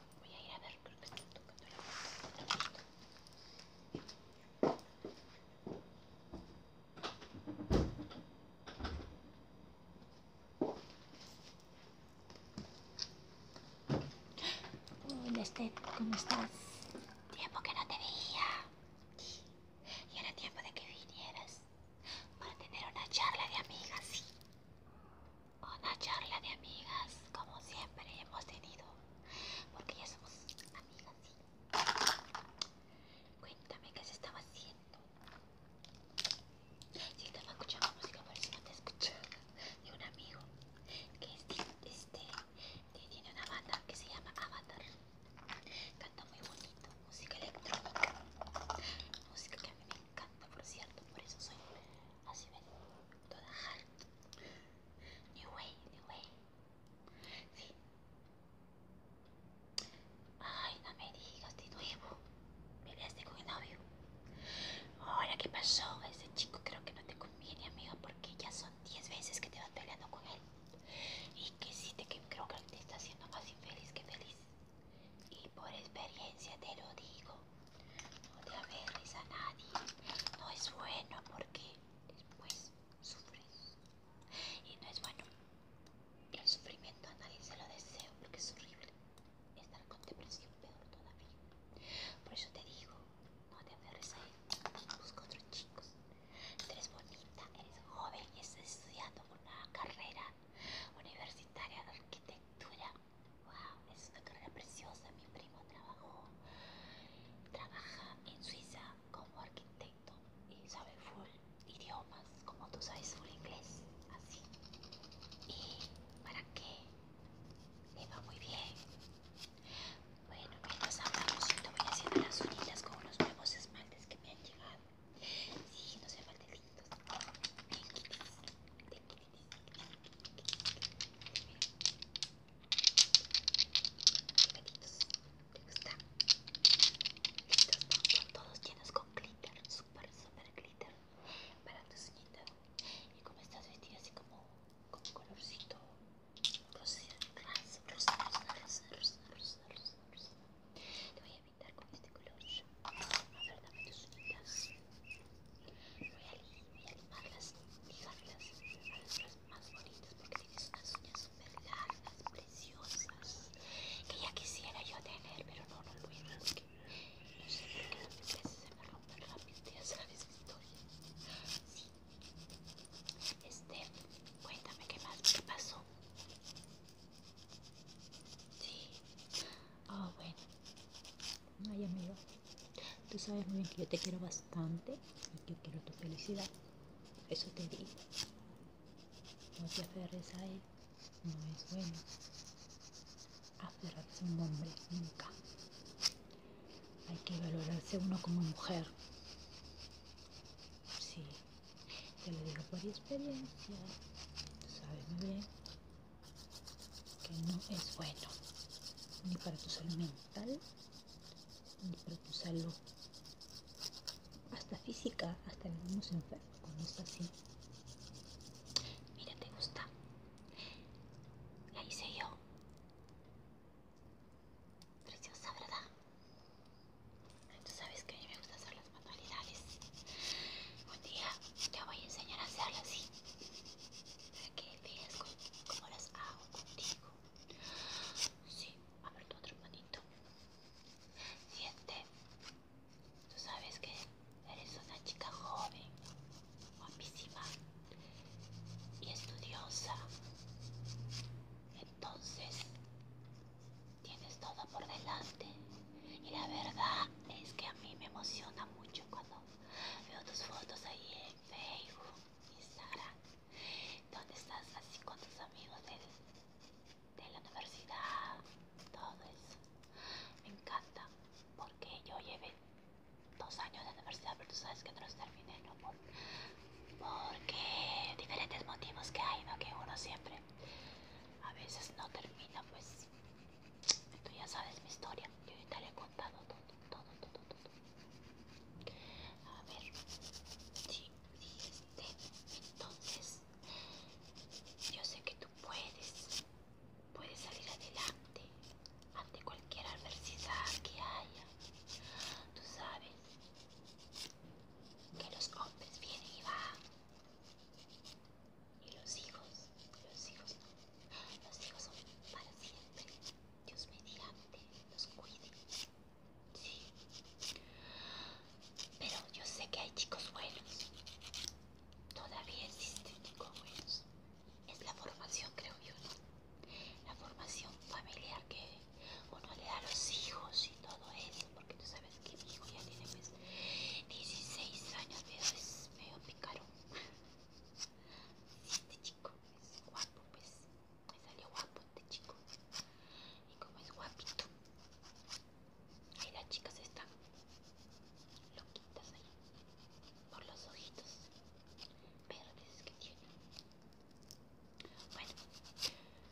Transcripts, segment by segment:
Voy a ir a ver, creo que están tocando la puerta. Hola, Estet, ¿cómo estás? Tiempo que no te veía. Y era tiempo de que vinieras para tener una charla de amigas, ¿sí? una charla de amigas como siempre hemos tenido porque ya somos amigas cuéntame qué se estaba haciendo si estaba escuchando música por eso no te escuché de un amigo este, que tiene una banda que se llama Avatar canta muy bonito música electrónica música que a mí me encanta por cierto por eso soy así toda New way, Sí. Ay, no me digas de nuevo. Me con el novio. Ahora, ¿qué pasó? Ese chico creo que no te conviene, amigo porque ya son 10 veces que te vas peleando con él. Y que sí, te, que creo que te está haciendo más infeliz que feliz. Y por experiencia te lo digo no te aferres a nadie, no es bueno porque después pues, sufres y no es bueno el sufrimiento a nadie se lo deseo porque es horrible estar con depresión peor todavía por eso te digo no te aferres a él otros chicos eres bonita eres joven y estás estudiando una carrera universitaria de arquitectura Wow, es una carrera preciosa. Mi primo trabajó, trabaja en Suiza como arquitecto y sabe full idiomas, como tú sabes full inglés, así. ¿Y para qué? Le va muy bien. Bueno, nos hablamos, te voy haciendo las orillas con unos nuevos esmaltes que me han llegado. Sí, no se lindos, Thank ¿te todos llenos con glitter, super, super glitter para tu Y como estás vestida así como con colorcito, te voy a pintar con este color tus voy a, limarlas a las más bonitas porque tienes unas uñas super largas preciosas que ya quisiera yo tener pero no, no lo hice porque no sé por qué las veces se me rompen rápido ya sabes mi historia sí este cuéntame qué más qué pasó Sí. Oh, bueno. Ay, amigo, tú sabes muy bien que yo te quiero bastante y que quiero tu felicidad. Eso te digo. No te aferres a él, no es bueno. Aferrarse a un hombre, nunca. Hay que valorarse uno como mujer. Sí, te lo digo por experiencia. Tú sabes muy bien que no es bueno ni para tu salud mental ni para tu salud hasta física hasta se enfermos cuando es así mira te gusta la hice yo preciosa verdad tú sabes que a mí me gusta hacerlo las Un día te voy a enseñar a hacerlo así. Para que cómo, las hago contigo. Sí, abro tu otro manito. Siente. Tú sabes que eres una chica joven, guapísima y estudiosa. Entonces, tienes todo por delante. Y la verdad es que a mí me emociona mucho cuando veo tus fotos ahí en Facebook, Instagram, donde estás así con tus amigos de la universidad, todo eso. Me encanta porque yo llevé dos años de universidad, pero tú sabes que no los terminé, ¿no? porque diferentes motivos que hay, ¿no? Que uno siempre a veces no termina, pues tú ya sabes mi historia. Yo te la he contado todo, todo, todo, todo. A ver, sí, sí, este. Entonces, yo sé que tú puedes, puedes salir adelante ante cualquier adversidad que haya. Tú sabes que los hombres vienen y van. Y los hijos, los hijos, no, los hijos son para siempre. Dios mediante los cuide. Sí. Pero yo sé que hay chicos buenos. Todavía existen chicos buenos. Es la formación, creo yo, La formación familiar que uno le da a los hijos y todo eso, porque tú sabes que mi hijo ya tiene pues 16 años, pero es medio picarón Sí, este chico es guapo, pues me salió guapo este chico. Y como es guapito, ahí las chicas están loquitas ahí por los ojitos verdes que tiene. Bueno,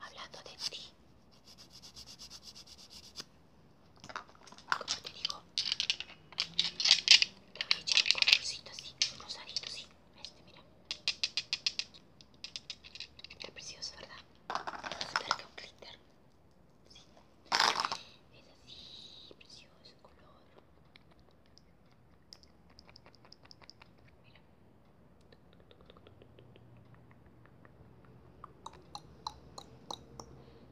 hablando de ti, como te digo te voy a echar un colorcito así un rosadito así este mira está precioso verdad ver que un glitter sí. es así precioso color mira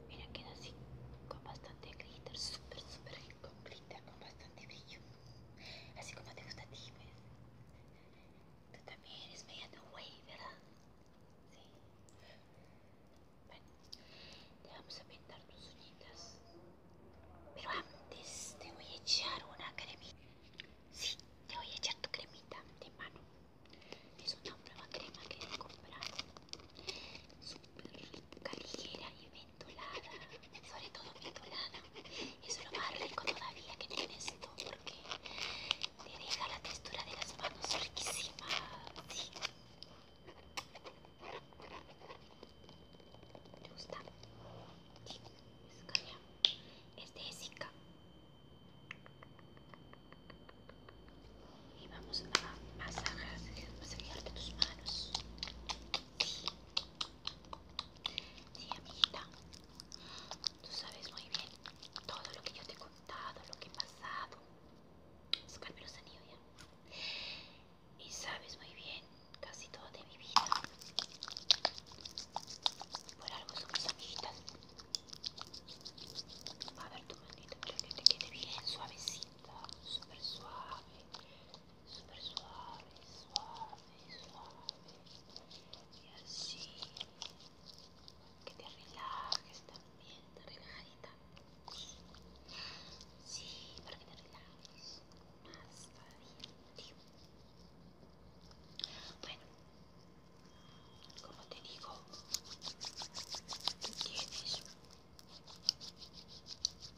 Mira, queda así, con bastante glitter, súper, súper rico, con bastante brillo. Así como te gusta a ti, pues. Tú también eres de un ¿verdad? Sí. Bueno, te vamos a pintar tus uñitas. Pero antes te voy a echar una cremita. Sí, te voy a echar tu cremita de mano. Es una nueva crema que he comprado. Súper rica, ligera y ventolada. Sobre todo ventolada. es lo más rico todavía que tiene esto porque te deja la textura de las manos riquísima. ¿Sí? ¿Te gusta? Sí, es Este es y vamos a masajear tus manos. Sí. sí, amiguita. Tú sabes muy bien todo lo que yo te he contado, lo que he pasado. Sacarme los ya. Y sabes muy bien casi todo de mi vida. Por algo somos amiguitas. A ver tu manito, para que te quede bien suavecita, súper suave, súper suave, suave, suave. Y así, que te relajes también, te relajadita. Sí, para que te relajes más todavía. Bueno, como te digo, tienes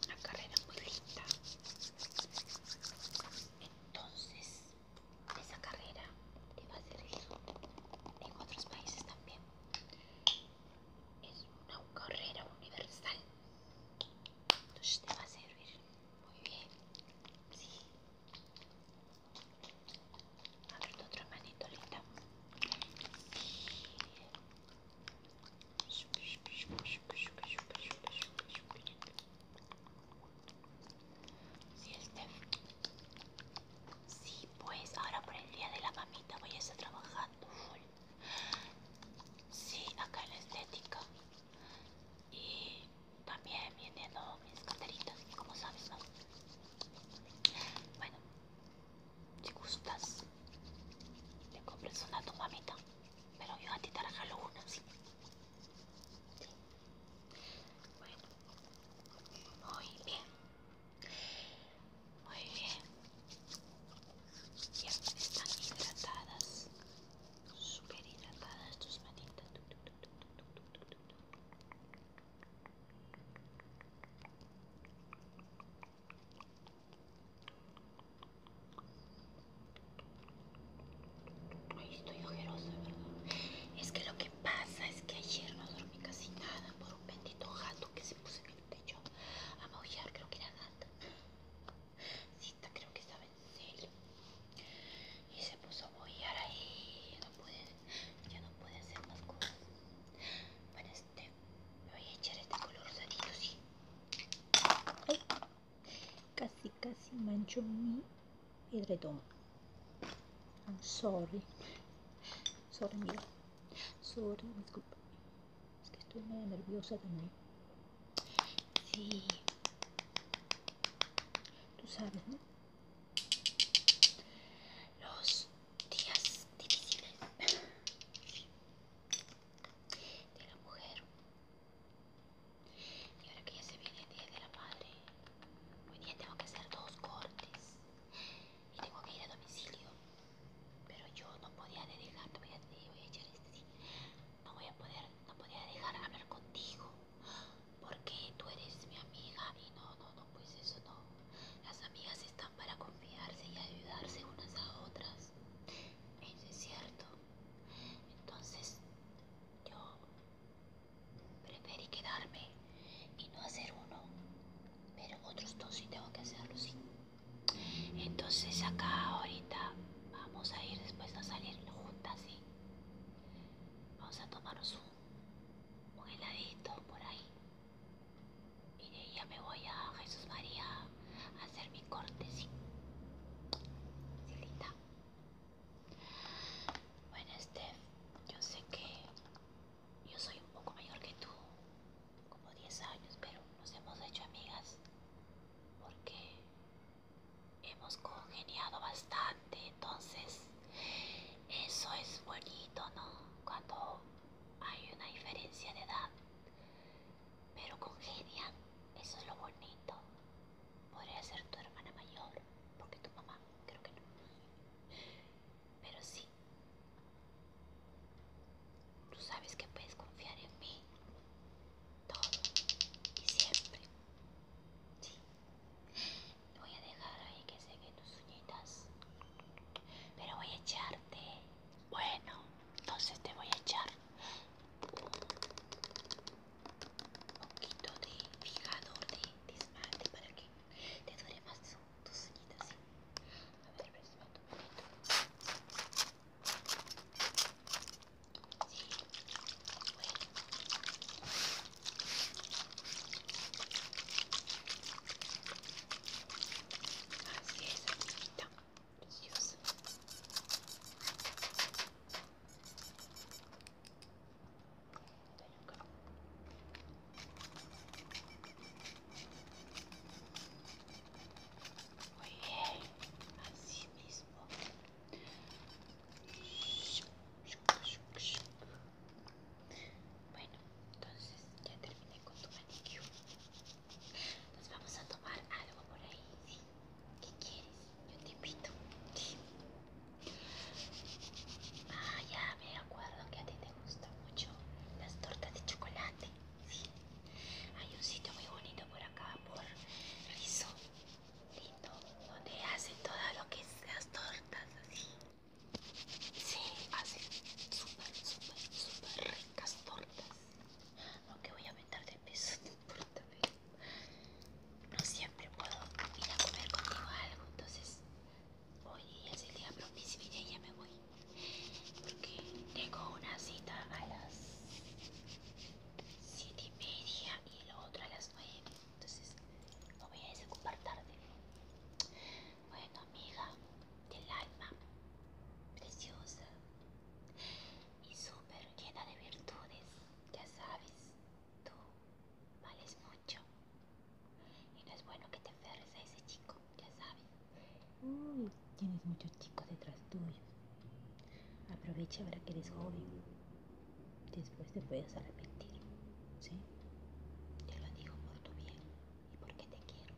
una carrera muy linda. Entonces, esa carrera te va a servir en otros países también. Es una carrera universal. Entonces te va a servir muy bien. Sí ver tu otra manito, linda. Sí, Steph. Sí, pues ahora por el día de la mamita voy a estar trabajando full. Sí, acá en la estética y también vienen mis carteritas, como sabes, ¿no? Bueno, si gustas, te compres una a tu mamita, pero yo a ti te regalo una, ¿sí? Bueno, muy bien, muy bien, ya están hidratadas, súper hidratadas tus manitas. Ay, estoy ojerosa, ¿verdad? Es que lo que pasa es que ayer no dormí casi nada por un bendito gato que se puso en el techo a maullar, creo que era gata. Cita, creo que estaba en celo y se puso a bollar ahí. Ya no puede ya no hacer más cosas. Bueno, este, me voy a echar este color rosadito, casi, casi mancho mi pedretón. I'm sorry. Sorry, mira. Sorry, disculpa. Es que estoy medio nerviosa también. Sí. Tú sabes, ¿no? los días difíciles de la mujer y ahora que ya se viene el día de la madre hoy día tengo que hacer dos cortes y tengo que ir a domicilio pero yo no podía dejar no voy no podía dejar hablar contigo porque tú eres mi amiga y no, no, no, pues eso no. Las amigas están para confiarse y ayudarse unas a otras. Eso es cierto. Entonces yo preferí quedarme y no hacer uno, pero otros dos sí tengo que hacerlo, sí. Entonces acá ahorita vamos a ir después a salir juntas, sí. Vamos a tomarnos un, heladito por ahí. Y de ya me voy a Jesús María a hacer mi corte, sí. Bueno, Steph, yo sé que yo soy un poco mayor que tú, como 10 años, pero nos hemos hecho amigas porque hemos congeniado bastante, entonces eso es bonito, ¿no? Cuando hay una diferencia de edad, pero congenian, eso es lo bonito. Podría ser tu hermana mayor, porque tu mamá, creo que no. Pero sí, tú sabes que puedes confiar en mí todo y siempre. Sí. Voy a dejar ahí que seque tus uñitas. Pero voy a echarte. Bueno, entonces te voy a echar un poquito de fijador de, dismante para que te dure más tus uñitas. A ver, un poquito. Así es, amiguita. Preciosa. Muy bien, así mismo. Bueno, entonces ya terminé con tu manicure. Nos vamos a tomar algo por ahí, ¿Qué quieres? Yo te invito. Ah, ya me acuerdo que a ti te gustan mucho las tortas de chocolate. ¿sí? Hay un sitio muy bonito por acá, por Rizo donde hace todas lo que las tortas así. Sí, hace súper, súper, súper ricas tortas. Aunque voy a aumentar de peso, no siempre puedo ir a comer contigo algo, entonces hoy es el día propicio y ya me voy. Porque tengo una cita a las siete y media y lo otro a las nueve Entonces no voy a desocupar tarde. Bueno, amiga del alma, preciosa y super llena de virtudes, ya sabes, tú vales mucho. Y no es bueno que te aferres a ese chico, ya sabes. tienes muchos chicos detrás tuyos. Aprovecha ahora que eres joven. Después te puedes arrepentir. ¿Sí? Te lo digo por tu bien y porque te quiero.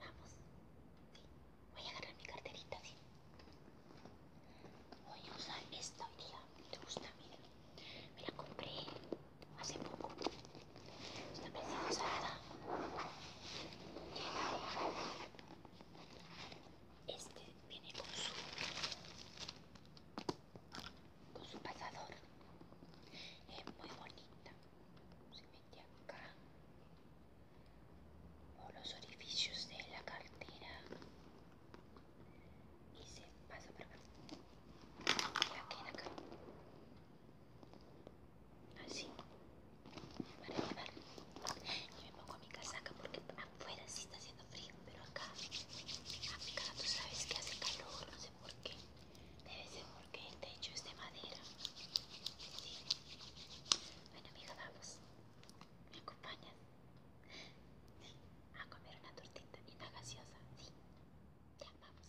Vamos. Voy a agarrar mi carterita, sí. Voy a usar esta hoy día. ¿Te gusta? Mira. Me la compré hace poco. Está preciosa. Tiene este viene con su con su pasador. Es muy bonita. Se mete acá. por los orificios de la cartera. Y se pasa por acá. aquí acá. Así. Ah, Para llevar. Y me pongo mi casaca porque afuera sí está haciendo frío, pero acá, acá tú sabes que hace calor, no sé por qué. Debe ser porque el techo es de madera. Sí. Bueno, amiga, vamos. ¿Me acompañas? A comer una tortita y una gaseosa. Sí. Ya, vamos.